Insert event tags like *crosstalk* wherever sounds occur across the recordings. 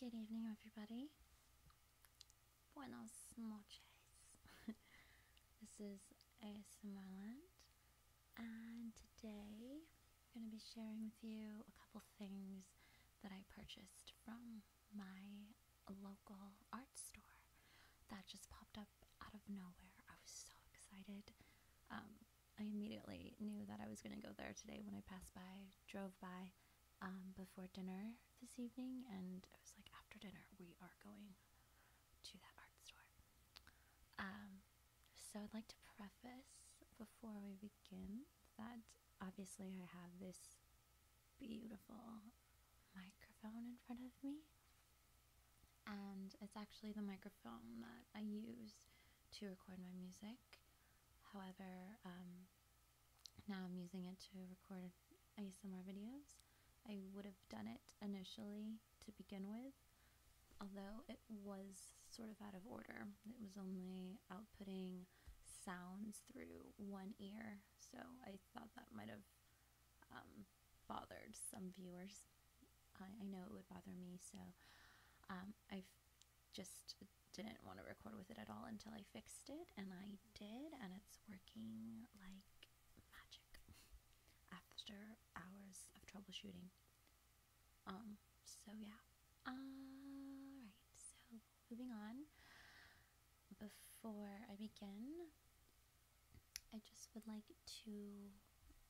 Good evening, everybody. Buenos noches. *laughs* this is ASMRland, and today I'm going to be sharing with you a couple things that I purchased from my local art store that just popped up out of nowhere. I was so excited. Um, I immediately knew that I was going to go there today when I passed by drove by um, before dinner this evening, and it was like, after dinner, we are going to that art store. Um, so I'd like to preface before we begin that obviously I have this beautiful microphone in front of me. And it's actually the microphone that I use to record my music. However, um, now I'm using it to record ASMR videos. I would have done it initially to begin with, although it was sort of out of order. It was only outputting sounds through one ear, so I thought that might have um, bothered some viewers. I, know it would bother me, so um, I've just didn't want to record with it at all until I fixed it, and I did, and it's working like magic *laughs* after hours of troubleshooting. Um, so yeah. Alright, so moving on. Before I begin, I just would like to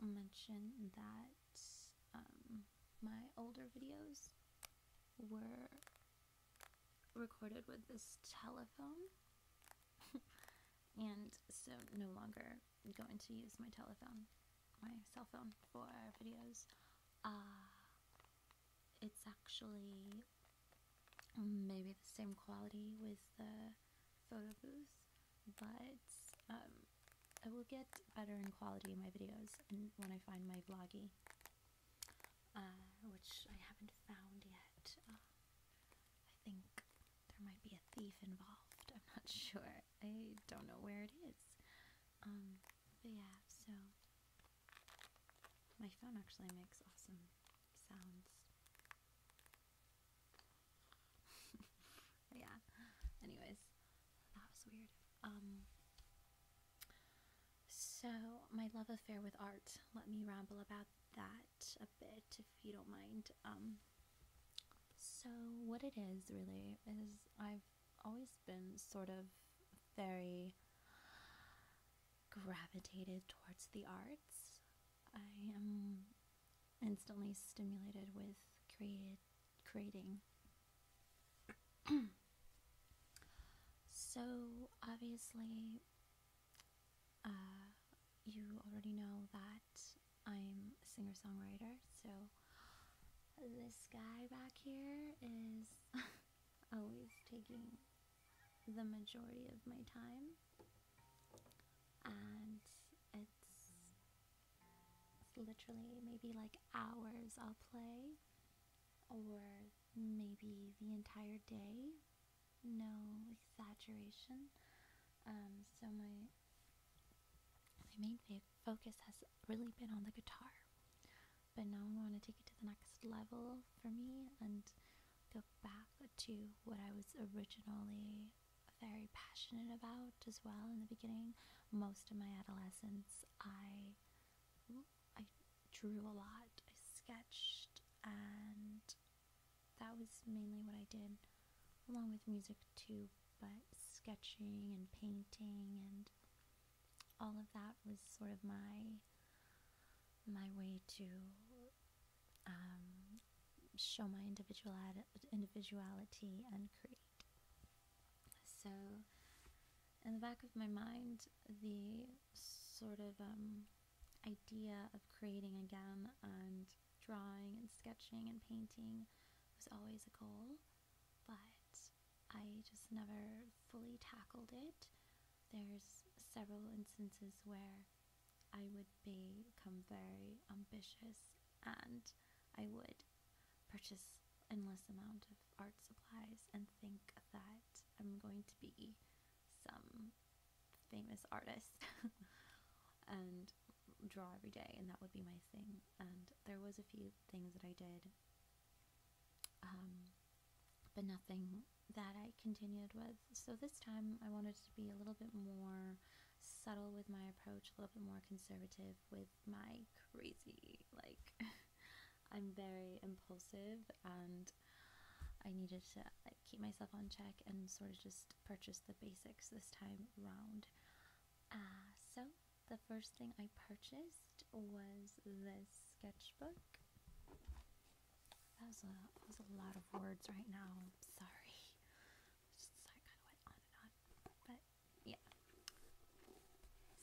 mention that um, my older videos were recorded with this telephone, *laughs* and so no longer going to use my telephone, my cell phone, for videos. Uh, it's actually maybe the same quality with the photo booth, but um, I will get better in quality in my videos and when I find my vloggy, uh, which I haven't found yet. Uh, I think there might be a thief involved. I'm not *laughs* sure. I don't know where it is. Um, yeah, so my phone actually makes awesome sounds. *laughs* yeah. Anyways, that was weird. Um, so, my love affair with art. Let me ramble about that a bit if you don't mind. Um, so, what it is really is I've always been sort of very gravitated towards the arts. I am instantly stimulated with creative creating. so, obviously, uh, you already know that I'm a singer songwriter, so this guy back here is *laughs* always taking the majority of my time, and it's literally maybe like hours I'll play or maybe the entire day. No exaggeration. Um, so my my main focus has really been on the guitar, but now I want to take it to the next level for me and go back to what I was originally very passionate about as well in the beginning. Most of my adolescence, I I drew a lot, I sketched, and that was mainly what I did, along with music too, but sketching and painting and all of that was sort of my my way to um, show my individual individuality and create. So in the back of my mind the sort of um, idea of creating again and drawing and sketching and painting was always a goal, but I just never fully tackled it. There's several instances where I would become very ambitious and I would purchase endless amount of art supplies and think that I'm going to be some famous artist *laughs* and draw every day and that would be my thing and there was a few things that I did um, but nothing that I continued with so this time I wanted to be a little bit more subtle with my approach a little bit more conservative with my crazy. Like, *laughs* I'm very impulsive and I needed to like keep myself on check and sort of just purchase the basics this time round. Uh, so, the first thing I purchased was this sketchbook. That was a, that was a lot of words right now. I'm sorry. *laughs* Just sorry, kind of went on and on. But yeah.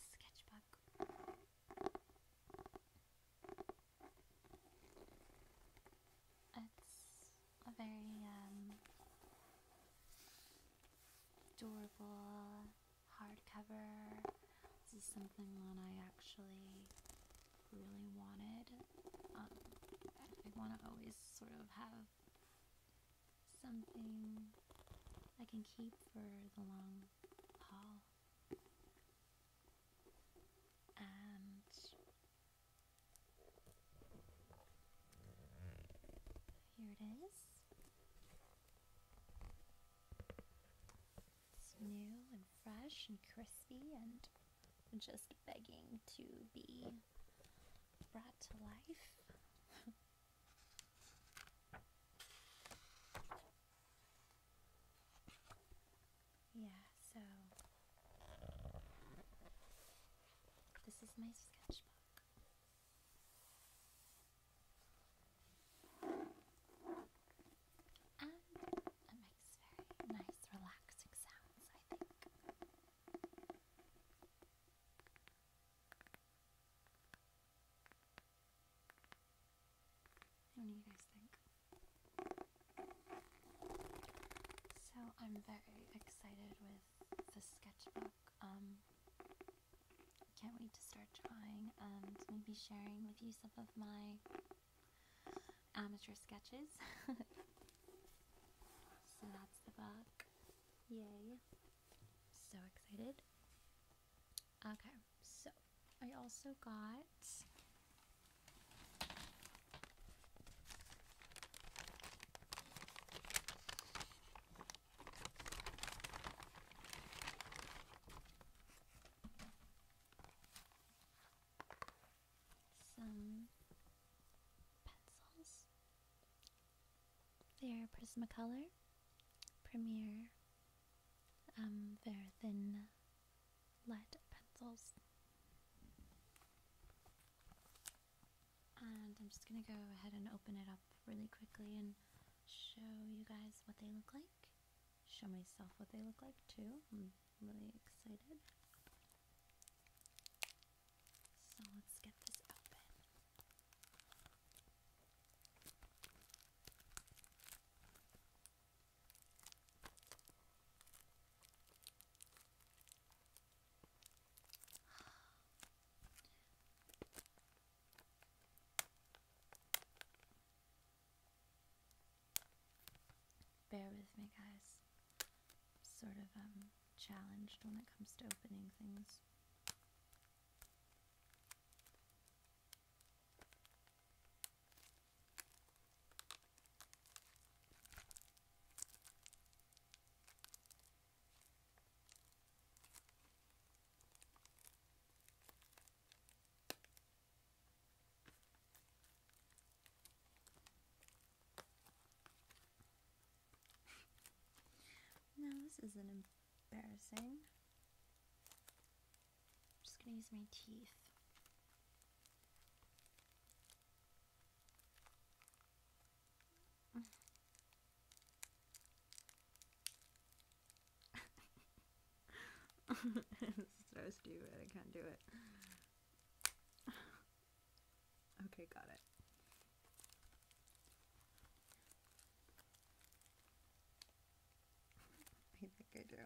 Sketchbook. It's a very um, durable hardcover. This is something that I actually really wanted. Um, I want to always sort of have something I can keep for the long haul. And here it is. It's new and fresh and crispy and just begging to be brought to life. *laughs* Yeah, so this is my sketchbook. And it makes very nice, relaxing sounds, I think. So I'm very excited with the sketchbook. Um, can't wait to start drawing and maybe sharing with you some of my amateur sketches. *laughs* so that's the book. Yay. So excited. Okay, so I also got some pencils they're Prismacolor, Premier, um, they thin lead pencils. And I'm just gonna go ahead and open it up really quickly and show you guys what they look like. Show myself what they look like too. I'm really excited. So let's get this open. Bear with me, guys. sort of um challenged when it comes to opening things now this is an Embarrassing. I'm just gonna use my teeth. *laughs* this so stupid, I can't do it. *laughs* okay, got it. *laughs* I think I do. Got it now.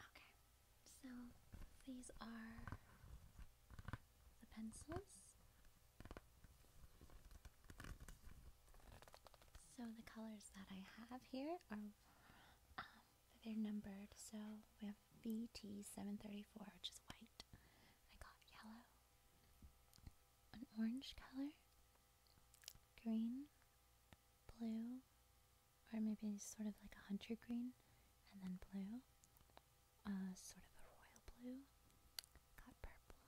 Okay, so these are the pencils. So the colors that I have here are um, they're numbered. So we have VT 734 which is white. I got yellow, an orange color, green, blue, or maybe sort of like a hunter green, and then blue, uh, sort of a royal blue, got purple,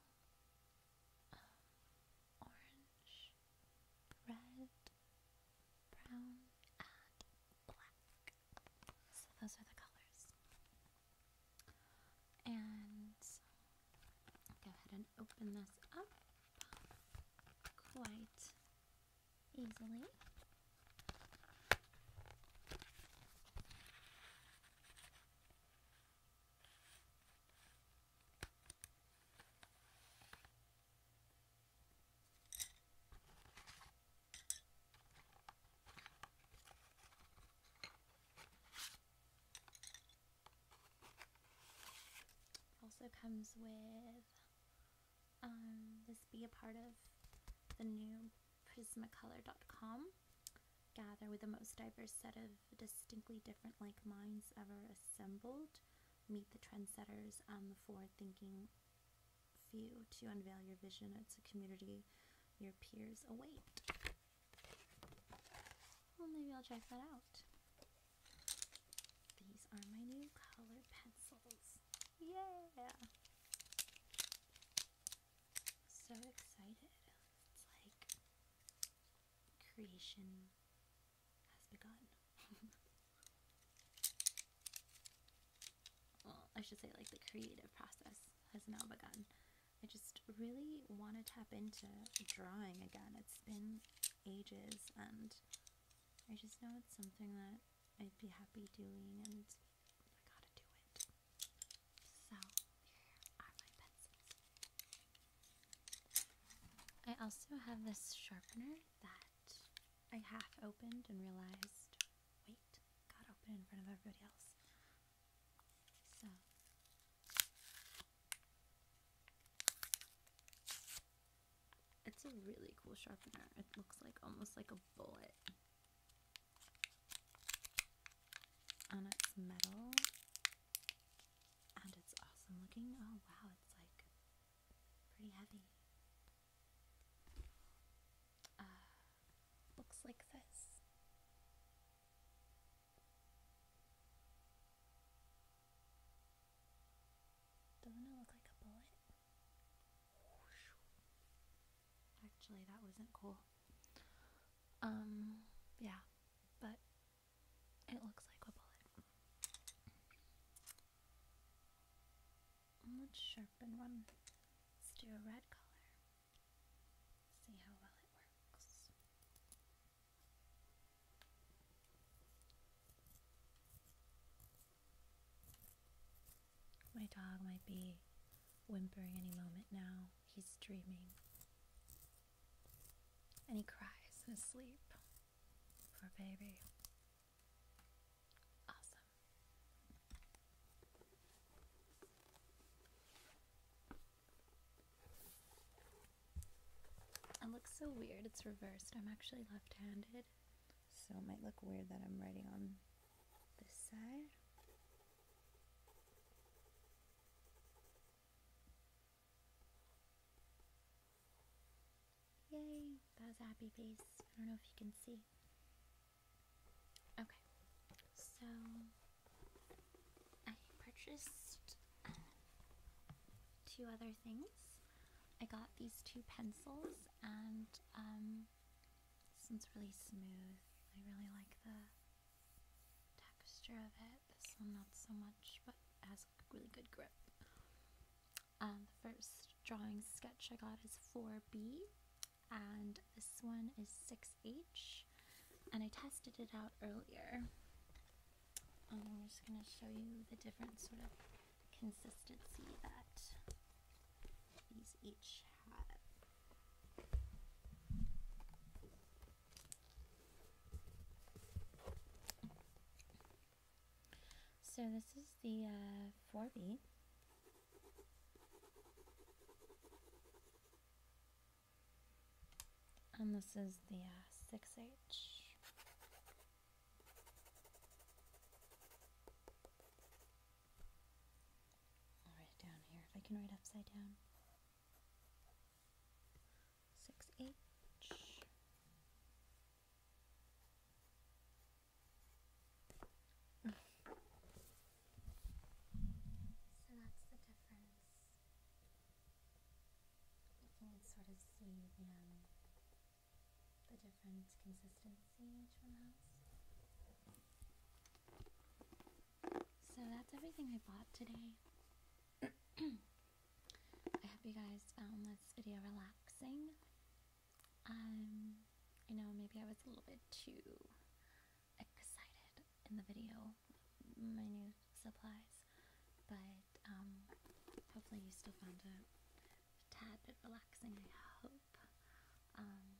um, orange, red, brown, black. So those are the colors. And go ahead and open this up quite easily also comes with um, this be a part of the new dot com gather with the most diverse set of distinctly different like minds ever assembled meet the trendsetters and um, the forward-thinking few to unveil your vision it's a community your peers await well maybe i'll check that out these are my new color pencils. Yeah! So excited. It's like creation has begun. *laughs* well, I should say, like, the creative process has now begun. I just really want to tap into drawing again. It's been ages, and I just know it's something that I'd be happy doing, and I gotta do it. So, here are my pencils. I also have this sharpener that I half opened and realized, wait, got open in front of everybody else. So, it's a really cool sharpener. It looks like almost like a bullet. And it's metal. And it's awesome looking. Oh wow, it's like pretty heavy. Uh, looks like this. Doesn't it look like a bullet? Actually, that wasn't cool. Um, yeah, but it looks like a bullet. Let's sharpen one. Let's do a red color. See how well it works. My dog might be whimpering any moment now. He's dreaming. And he cries in his sleep. for baby. Awesome. It looks so weird. It's reversed. I'm actually left handed. So it might look weird that I'm writing on this side. Yay! That happy face. I don't know if you can see. Okay. So I purchased two other things. I got these two pencils and um this one's really smooth. I really like the texture of it. This one not so much, but has a really good grip. Um, the first drawing sketch I got is 4B and this one is 6H and I tested it out earlier um, I'm just going to show you the different sort of consistency that these each have. So this is the 4B. Uh, and this is the 6H. write it down here if I can write upside down. 6H. So that's the difference you can sort of see the, um, the different consistency each one has. So that's everything I bought today. *clears throat* I hope you guys found um, this video relaxing. Um, I know maybe I was a little bit too excited in the video, my new supplies, but um, hopefully you still found it a tad bit relaxing, I hope. Um,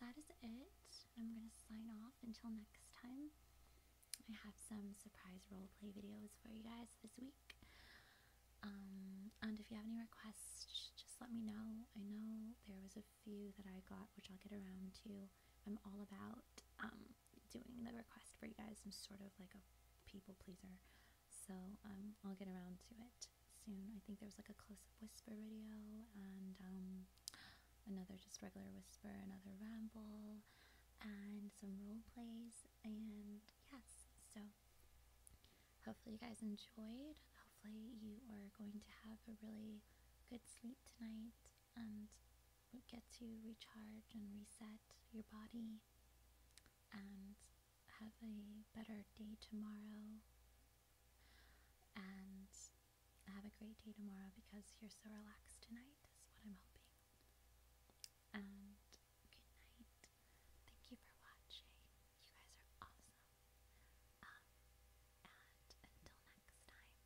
that is it. I'm going to sign off until next time. I have some surprise role play videos for you guys this week. Um, and if you have any requests, just let me know. I know there was a few that I got, which I'll get around to. I'm all about doing the request for you guys. I'm sort of like a people pleaser, so um, I'll get around to it soon. I think there was like a close-up whisper video and um, another just regular whisper, another ramble, and some role plays. And yes, so hopefully you guys enjoyed. Hopefully you are going to have a really good sleep tonight and it gets you recharge and reset your body and have a better day tomorrow and have a great day tomorrow because you're so relaxed tonight is what I'm hoping. And good night. Thank you for watching. You guys are awesome. Um, and until next time, bye guys.